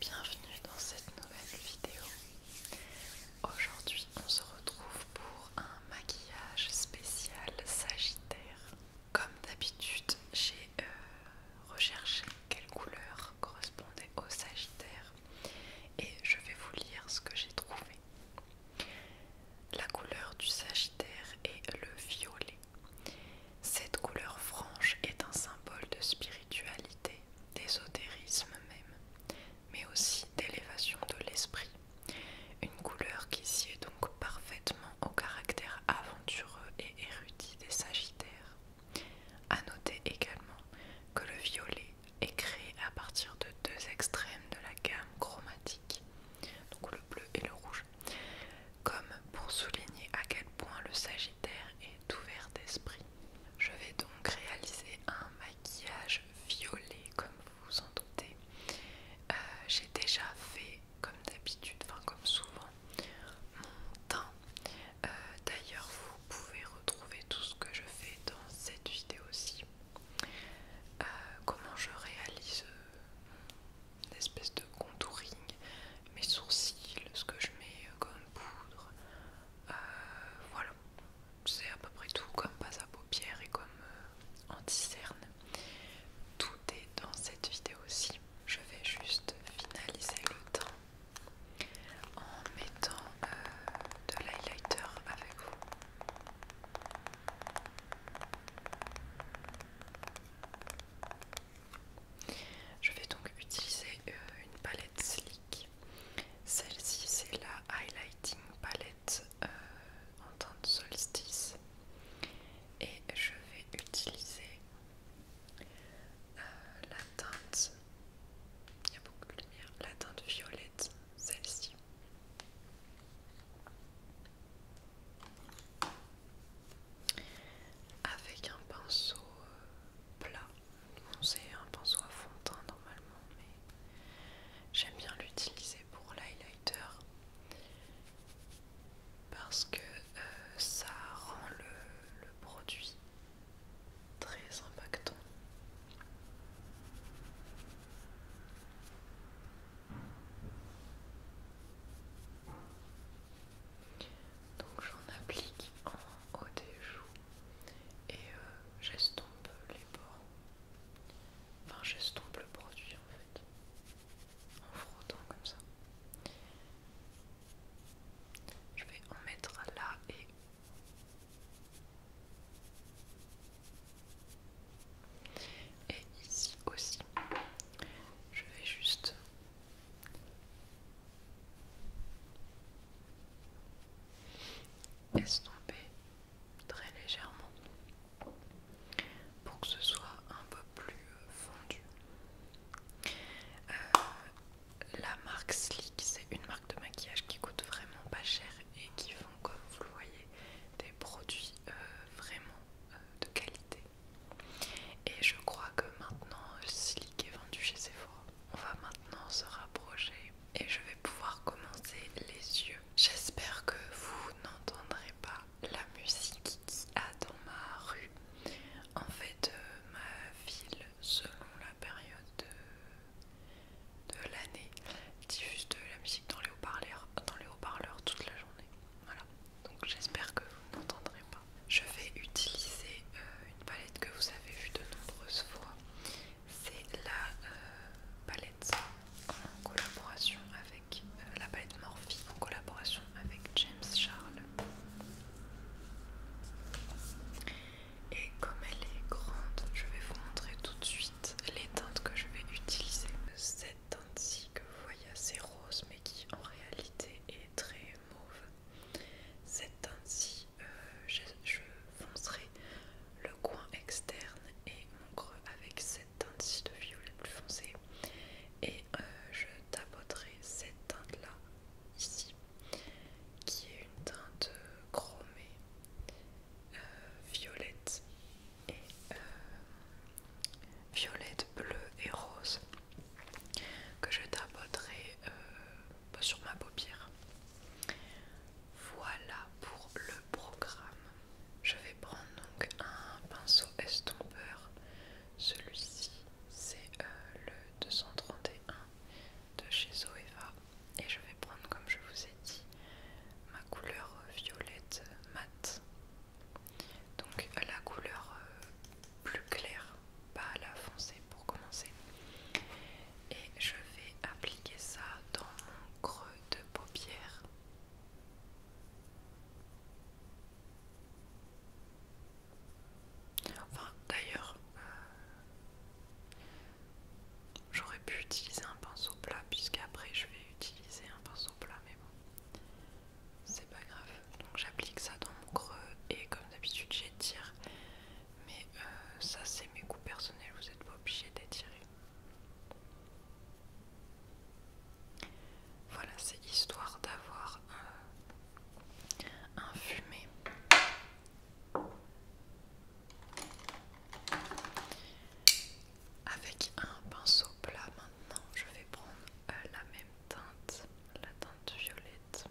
Bienvenue dans cette nouvelle vidéo. Aujourd'hui, on se retrouve pour un maquillage spécial Sagittaire. Comme d'habitude, j'ai euh, recherché quelle couleur correspondait au Sagittaire et je vais vous lire ce que j'ai trouvé. La couleur du Sagittaire est le violet. Cette couleur franche est un symbole de spiritualité, d'ésotérisme même, mais aussi d'élévation de l'esprit. Une couleur qui sied donc parfaitement au caractère aventureux et érudit des Sagittaires. A noter également que le violet est créé à partir de deux extrêmes de la gamme chromatique donc le bleu et le rouge, comme pour souligner à quel point le Sagittaire est ouvert d'esprit. Je vais donc réaliser un maquillage violet, comme vous vous en doutez. Euh, j'ai déjà fait, comme d'habitude, enfin comme souvent, mon teint. Euh, d'ailleurs, vous pouvez retrouver tout ce que je fais dans cette vidéo-ci. Euh, comment je réalise l'espèce euh, espèce de contouring, mes sourcils, ce que je mets comme poudre. Euh, voilà, c'est à peu près tout comme pas à paupières et comme anti cernes. Tout est dans cette vidéo-ci. Je vais juste finaliser le teint en mettant de l'highlighter avec vous. Je vais donc utiliser euh, une palette slick. Celle-ci, c'est la highlighting palette euh, en teinte solstice. Et je vais utiliser euh, la teinte. Il y a beaucoup de lumière. La teinte violette celle-ci. Avec un pinceau euh, plat. c'est un pinceau à fond de teint normalement, mais j'aime bien l'utiliser pour l'highlighter parce que euh, ça rend le produit très impactant donc j'en applique en haut des joues et euh, j'estompe les bords. Enfin j'estompe le produit en fait. En frottant comme ça. Je vais en mettre là et et ici aussi, je vais juste estomper très légèrement pour que ce soit un peu plus fondu. Euh, la marque Sleek, c'est une marque de maquillage qui coûte vraiment pas cher et qui font, comme vous le voyez, des produits euh, vraiment euh, de qualité. Et je crois que maintenant, Silic est vendu chez Sephora. On va maintenant se rapprocher et je vais pouvoir commencer les yeux. J'espère que vous n'entendrez pas la musique qu'il a dans ma rue. En fait, euh, ma ville, selon la période de de l'année diffuse de la musique dans les haut-parleurs haut toute la journée. Voilà, donc j'espère que vous n'entendrez pas. Je vais utiliser euh, une palette que vous avez vue de nombreuses fois. C'est la euh, palette en collaboration avec euh, la palette Morphe en collaboration avec James Charles. Et comme elle est grande, je vais vous montrer tout de suite les teintes que je vais utiliser. Cette teinte-ci que vous voyez assez rose mais qui en réalité est très mauve. Cette teinte-ci, euh, je, foncerai le coin externe et mon creux avec cette teinte-ci de violette plus foncée. et euh, je tapoterai cette teinte-là ici qui est une teinte chromée euh, violette et euh, violette, bleue et rose que je tapoterai euh, sur ma paupière. Voilà pour le programme. Je vais prendre donc un pinceau estompeur. Celui-ci, c'est euh, le 231 de chez Zoeva et je vais prendre comme je vous ai dit ma couleur euh, violette euh, mat donc euh, la couleur plus claire pas la foncée pour commencer et je vais appliquer ça dans mon creux de paupière Enfin, d'ailleurs, J'aurais pu utiliser un pinceau plat, puisqu'après je vais utiliser un pinceau plat, mais bon, c'est pas grave. Donc j'applique ça dans mon creux, et comme d'habitude, j'étire, mais euh, ça, c'est mes goûts personnels, vous n'êtes pas obligé d'étirer. Voilà, c'est histoire d'avoir euh, un, un fumé. Avec un pinceau plat maintenant, je vais prendre euh, la même teinte, la teinte violette,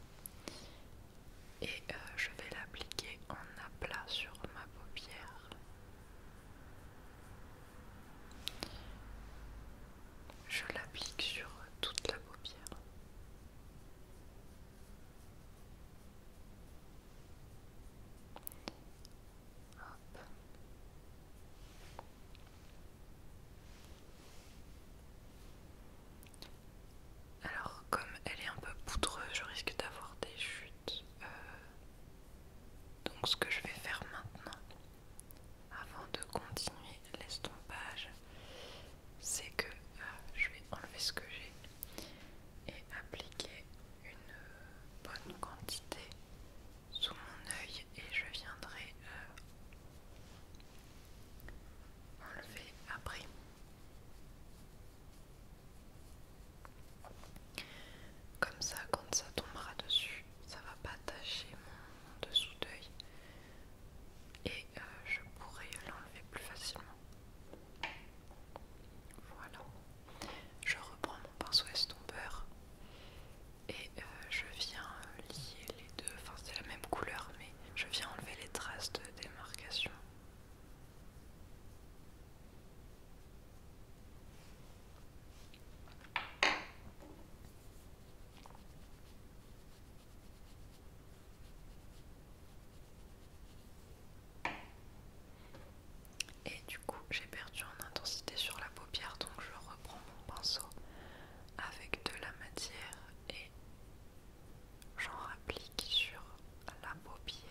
et euh, je vais l'appliquer en aplat sur ma paupière. Je l'applique sur toute la paupière. Alors comme elle est un peu poudreuse, je risque d'avoir des chutes. Euh, donc ce que je vais faire maintenant, avant de continuer l'estompage, c'est que euh, je vais enlever ce que j'ai et appliquer une bonne quantité sous mon œil et je viendrai euh, enlever après. Comme ça, quand ça tombera dessus, ça va pas tacher mon, dessous d'œil et euh, je pourrai l'enlever plus facilement. Voilà. Je reprends mon pinceau estompeur et euh, je viens euh, lier les deux, enfin c'est la même couleur mais je viens enlever les traces de démarcation. Et du coup, j'ai perdu en intensité sur la paupière, donc je reprends mon pinceau avec de la matière et j'en applique sur la paupière.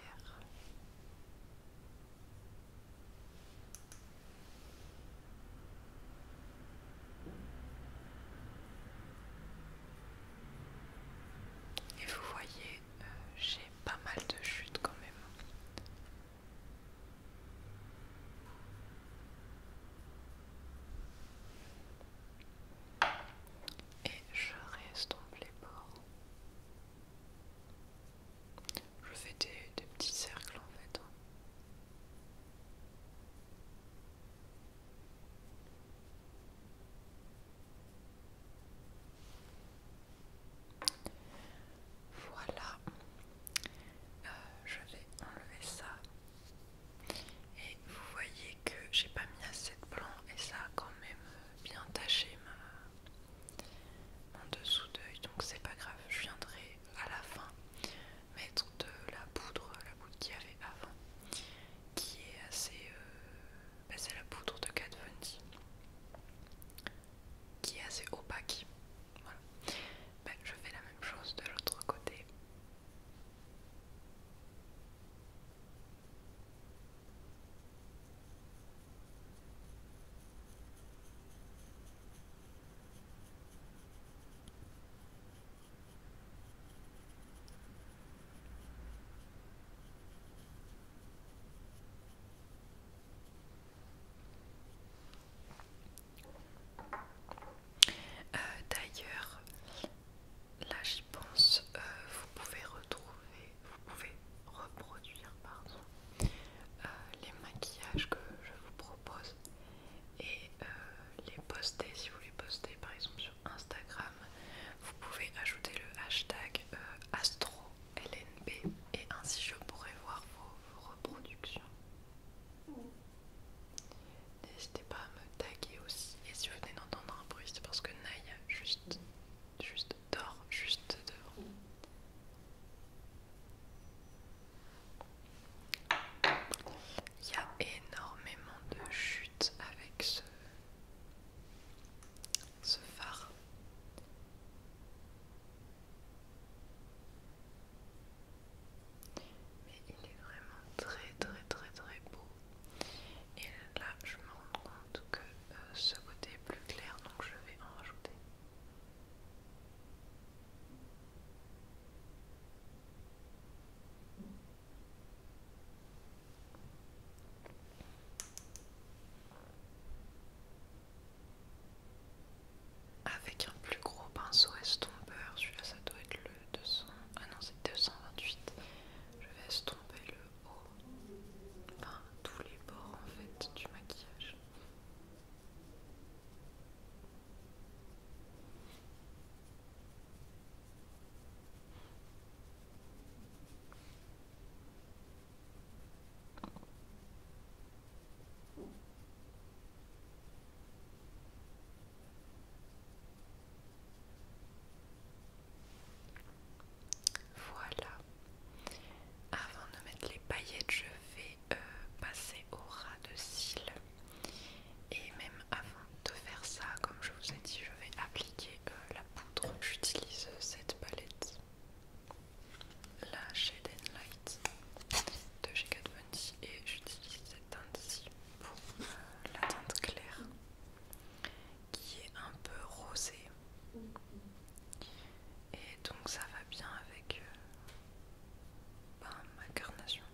Et vous voyez, euh, j'ai pas mal de chutes quand même. Et je reste les bords. Je fais des petits cercles en fait. Hein. Voilà, euh, je vais enlever ça. Et vous voyez que j'ai pas mis assez de blanc et ça a quand même euh, bien taché ma... mon dessous d'œil, donc c'est pas grave, je viendrai à la fin mettre de la poudre, la poudre qu'il y avait avant, qui est assez euh, bah, c'est la poudre de Kat Von D qui est assez opaque. Bah, je fais la même chose de l'autre côté. Euh, d'ailleurs, là j'y pense, euh, vous pouvez retrouver, vous pouvez reproduire pardon, euh, les maquillages que je vous propose et les poster si vous les postez par exemple sur Instagram. Vous pouvez ajouter le hashtag astro LNB et ainsi je pourrai voir vos, reproductions. N'hésitez pas à me taguer aussi. Et si vous venez d'entendre un bruit, c'est parce que Naya juste, juste dort, juste devant. Il y a énormément de chutes avec ce, ce phare. Mais il est vraiment très très très très beau. Et là je me rends compte que euh, ce côté est plus clair donc je vais en rajouter. Avec un plus gros pinceau estompeur, celui-là ça doit être le 200. Ah non, c'est 228. Je vais estomper le haut, enfin tous les bords en fait du maquillage. Voilà. Avant de mettre les paillettes, je vais euh, passer au ras de cils. Et même avant de faire ça, comme je vous ai dit, je vais appliquer euh, la poudre. J'utilise euh, cette palette la Shade Light de GK D et j'utilise cette teinte ici pour euh, la teinte claire qui est un peu rosée et donc ça va bien avec euh, bah, ma carnation.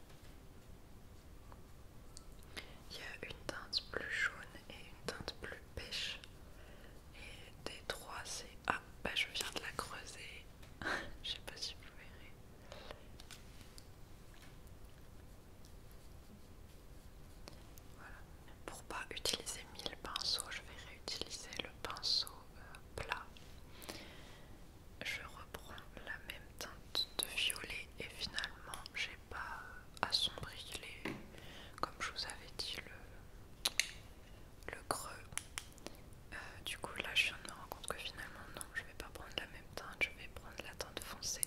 Il y a une teinte plus jaune et une teinte plus pêche et D3 c'est... Ah bah, je viens de la creuser. je sais pas si vous verrez. Voilà. Pour pas utiliser mille pinceaux, je vais réutiliser le pinceau euh, plat. Je reprends la même teinte de violet et finalement j'ai pas euh, assombrir, les, comme je vous avais dit le, creux euh, du coup là je viens de me rendre compte que finalement non je vais pas prendre la même teinte je vais prendre la teinte foncée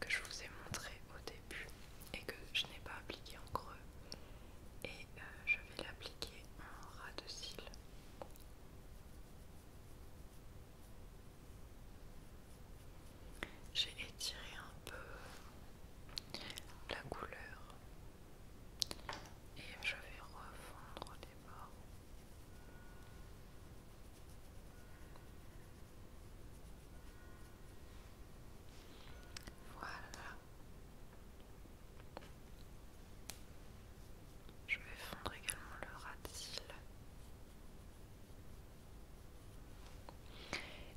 que je vous ai montrée au début et que je n'ai pas appliquée en creux et euh, je vais l'appliquer en ras de cils j'ai étiré un peu la couleur et je vais refondre les bords. Voilà. Je vais fondre également le ras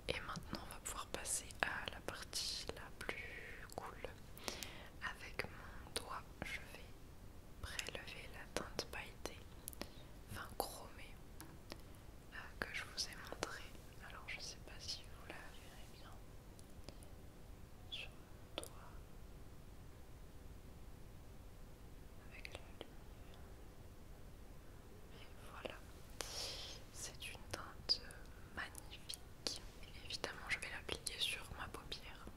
et maintenant, on va pouvoir passer à la partie la plus cool. Avec mon doigt, je vais prélever la teinte pailletée, enfin chromée, euh, que je vous ai montré. Alors, je sais pas si vous la verrez bien sur mon doigt. Avec la voilà c'est une teinte magnifique évidemment je vais l'appliquer sur ma paupière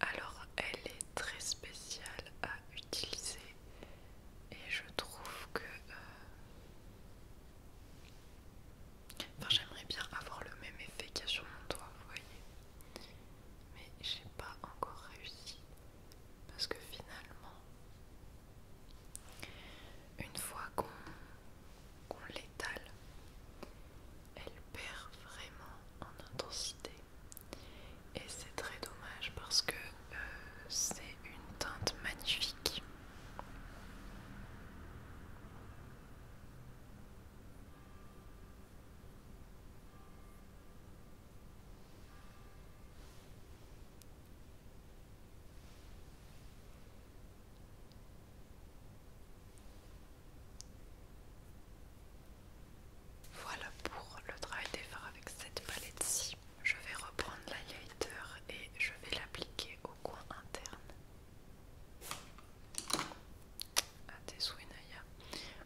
alors, elle est très spéciale à utiliser et je trouve que. Euh, j'aimerais bien avoir le même effet qu'il y a sur mon doigt, vous voyez. Mais j'ai pas encore réussi parce que finalement, une fois qu'on l'étale, elle perd vraiment en intensité et c'est très dommage parce que euh, c'est une teinte magnifique. Voilà pour le travail des fards avec cette palette-ci. Je vais reprendre l'highlighter et je vais l'appliquer au coin interne. À tes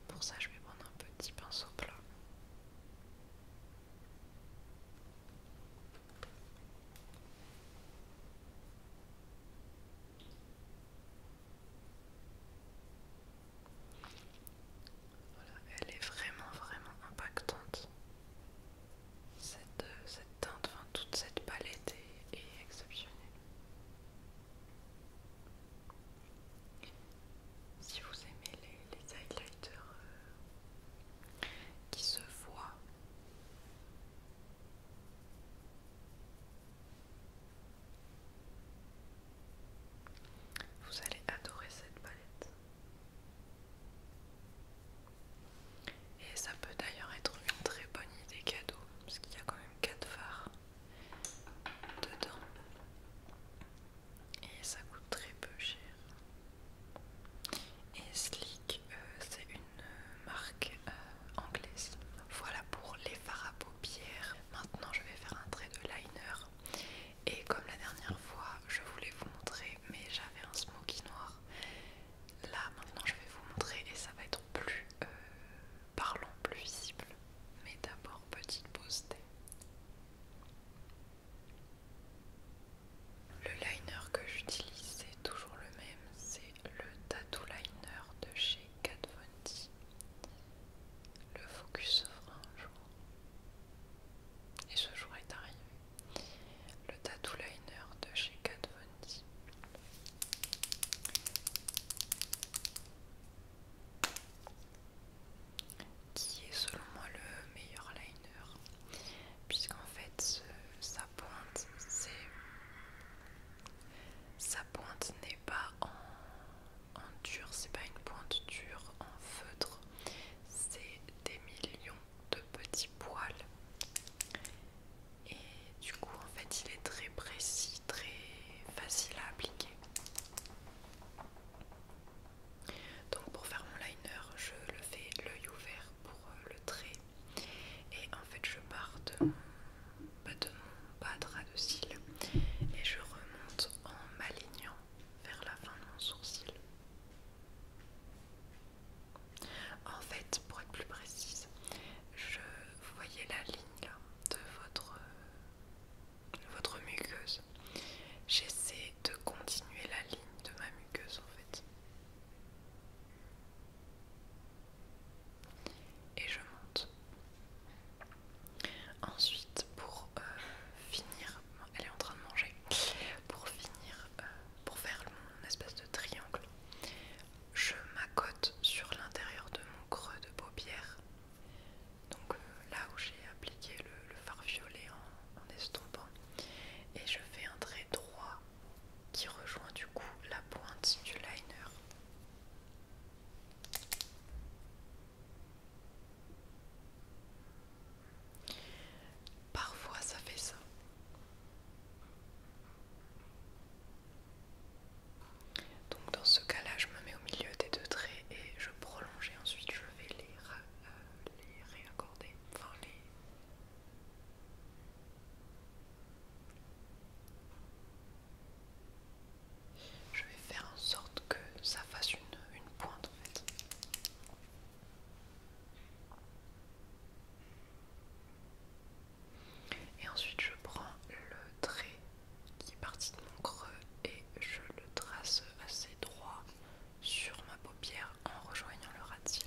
Pour ça, je vais prendre un petit pinceau plat. Voilà, elle est vraiment vraiment impactante. Cette, euh, teinte, toute cette palette est, exceptionnelle. Si vous aimez les, highlighters euh, qui se voient, vous allez adorer cette palette. Et ça peut d'ailleurs être une très bonne idée cadeau, parce qu'il y a quand même 4 phares dedans. Et ça coûte très peu cher. Et Slick, euh, c'est une marque euh, anglaise. Voilà pour les les fards Maintenant, je vais faire un trait de liner. Et comme la dernière fois, je voulais vous montrer, mais j'avais un smoky noir. Là, maintenant, je vais vous montrer et ça va être plus euh, parlant, plus visible. Mais d'abord, petite pause Le liner que j'utilise, c'est toujours le même, c'est le Tattoo Liner de chez Kat Von D. Le focus sera un jour. Et ce jour est arrivé. Le tattoo liner de chez Kat Von D. Qui est selon moi le meilleur liner, puisqu'en fait sa pointe, c'est sa pointe n'est pas en en dur, c'est pas une pointe dure en feutre, c'est des millions de petits poils. Et du coup, en fait, il est très précis, très facile à appliquer. Donc, pour faire mon liner, je le fais l'œil ouvert pour euh, le trait, et en fait, je pars de mon, bah, bas de ras de cils et je remonte en m'alignant vers la fin de mon sourcil. En fait, pour être plus précise, je, voyais la ligne de votre, euh, votre muqueuse. J'essaie de continuer la ligne de ma muqueuse en fait. Et je monte. Ensuite, pour euh, finir, elle est en train de manger. Pour finir, euh, pour faire mon espèce de triangle, je m'accote sur l'intérieur de mon creux de paupière. Donc euh, là où j'ai appliqué le, fard violet en estompant. Et je fais un trait droit qui rejoint du coup la pointe du liner. Parfois ça fait ça. Donc dans ce cas-là, je me mets au milieu des deux traits et je prolonge et ensuite je vais les, euh, réaccorder. les je vais faire en sorte que ça fasse une, pointe en fait. Et ensuite je prends le trait qui est parti de mon creux et je le trace assez droit sur ma paupière en rejoignant le ras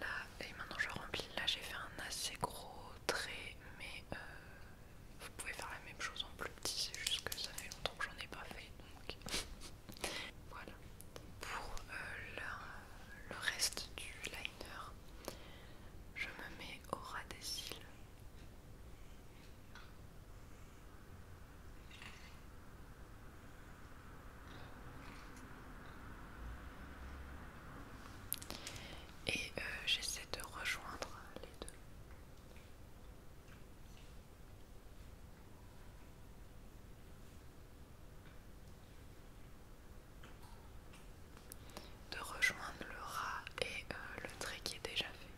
Là, et maintenant je remplis. Là, j'ai fait un assez gros trait, mais euh, vous pouvez faire la même chose en plus petit. C'est juste que ça fait longtemps que j'en ai pas fait, donc voilà. Pour euh, le, le reste du liner, je me mets au ras des cils. Et euh, j'essaie de rejoindre les deux. De rejoindre le rat et euh, le trait qui est déjà fait.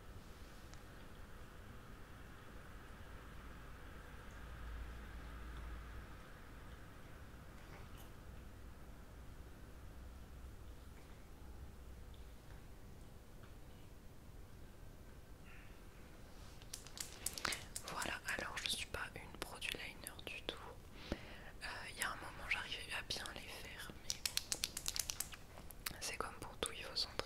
Voilà, alors je ne suis pas une produit liner du tout. Il euh, y a un moment j'arrivais à bien les faire, mais c'est comme pour tout, il faut s'entraîner.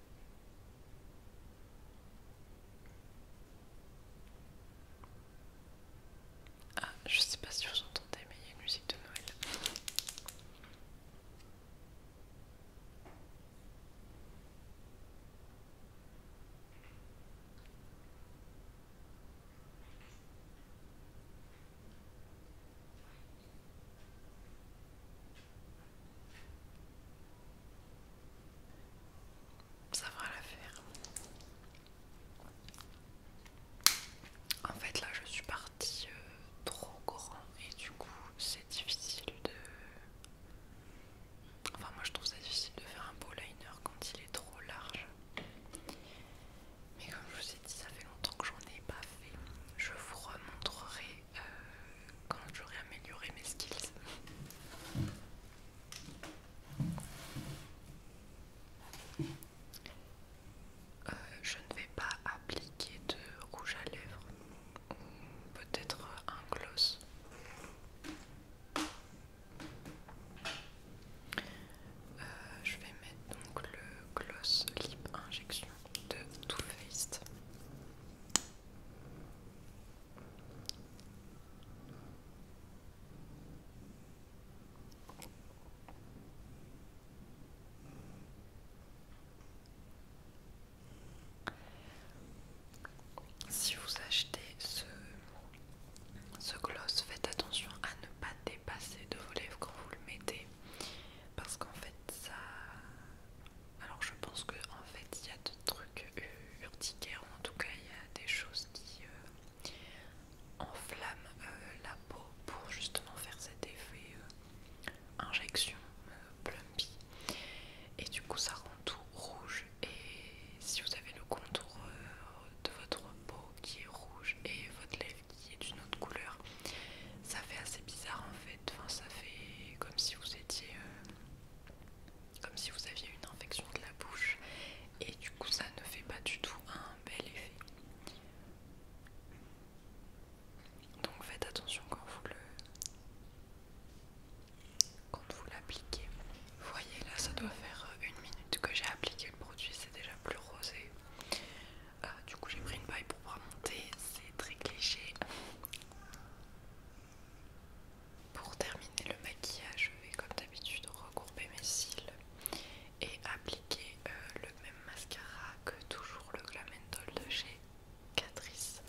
Ah, je sais pas si vous entendez, mais il y a une musique de Noël. Ça va l'affaire. En fait là je suis partie euh, trop grand et du coup c'est difficile de... Enfin moi je trouve ça difficile de faire un beau liner quand il est trop large. Mais comme je vous ai dit ça fait longtemps que j'en ai pas fait. Je vous remontrerai euh, quand j'aurai amélioré mes skills. Euh, je ne vais pas appliquer de rouge à lèvres ou peut-être un gloss. Euh, je vais mettre donc le gloss lip injection de Too Faced. Si vous achetez ce, ce gloss, faites attention à ne pas dépasser de vos lèvres quand vous le mettez parce qu'en fait ça alors je pense qu'en en fait il y a des trucs urticaires, en tout cas il y a des choses qui euh, enflamment euh, la peau pour justement faire cet effet euh, injection plumpy. Et du coup ça rend tout rouge et si vous avez le contour de votre peau qui est rouge et votre lèvre qui est d'une autre couleur, ça fait assez bizarre en fait, enfin ça fait comme si vous étiez comme si vous aviez une infection de la bouche et du coup ça ne fait pas du tout un bel effet. Donc faites attention quand vous le quand vous l'appliquez. Vous voyez là ça doit faire une minute que j'ai appliqué le produit, c'est déjà plus rosé. Euh, du coup j'ai pris une paille pour pas monter, c'est très cliché. Pour terminer le maquillage, je vais comme d'habitude regrouper mes cils et appliquer euh, le même mascara que toujours le Glam de chez Catrice.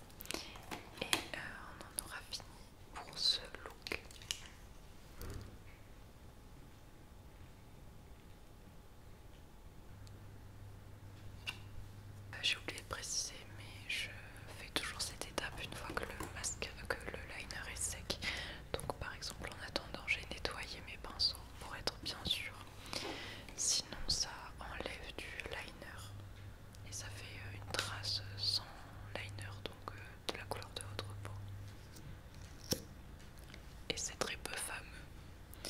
Et euh, on en aura fini pour ce look. Bah, j'ai oublié de préciser, mais je fais toujours cette étape une fois que le masque, euh, que le liner est sec. Donc, par exemple, en attendant, j'ai nettoyé mes pinceaux pour être bien sûr. Sinon, ça enlève du liner et ça fait euh, une trace sans liner, donc euh, de la couleur de votre peau. Et c'est très peu fameux.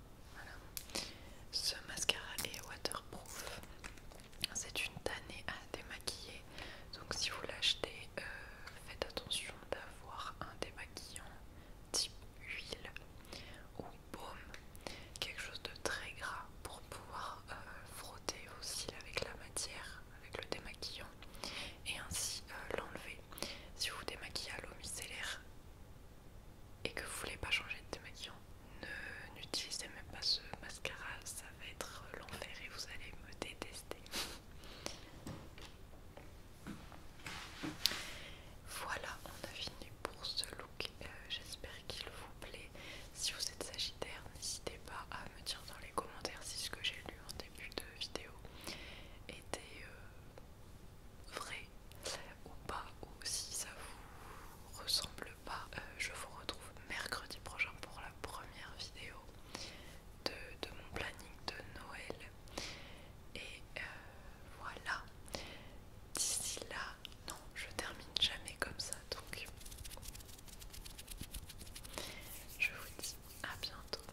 Ce mascara est waterproof. C'est une tannée à démaquiller. Donc si vous l'achetez, euh, faites attention d'avoir un démaquillant type huile ou baume. Quelque chose de très gras pour pouvoir euh, frotter vos cils avec la matière, avec le démaquillant et ainsi euh, l'enlever. Si vous démaquillez à l'eau micellaire, et que vous voulez pas changer de démaquillant, ne n'utilisez même pas ce mascara, ça va être l'enfer et vous allez me détester. Voilà, on a fini pour ce look. Euh, j'espère qu'il vous plaît. Si vous êtes sagittaire, n'hésitez pas à me dire dans les commentaires si ce que j'ai lu en début de vidéo était euh, vrai ou pas, ou si ça vous ressemble pas, euh, je vous retrouve mercredi prochain pour la première vidéo de, mon planning de Noël. Et euh, voilà. D'ici là, non, je termine jamais comme ça, donc je vous dis à bientôt.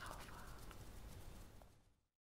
Au revoir.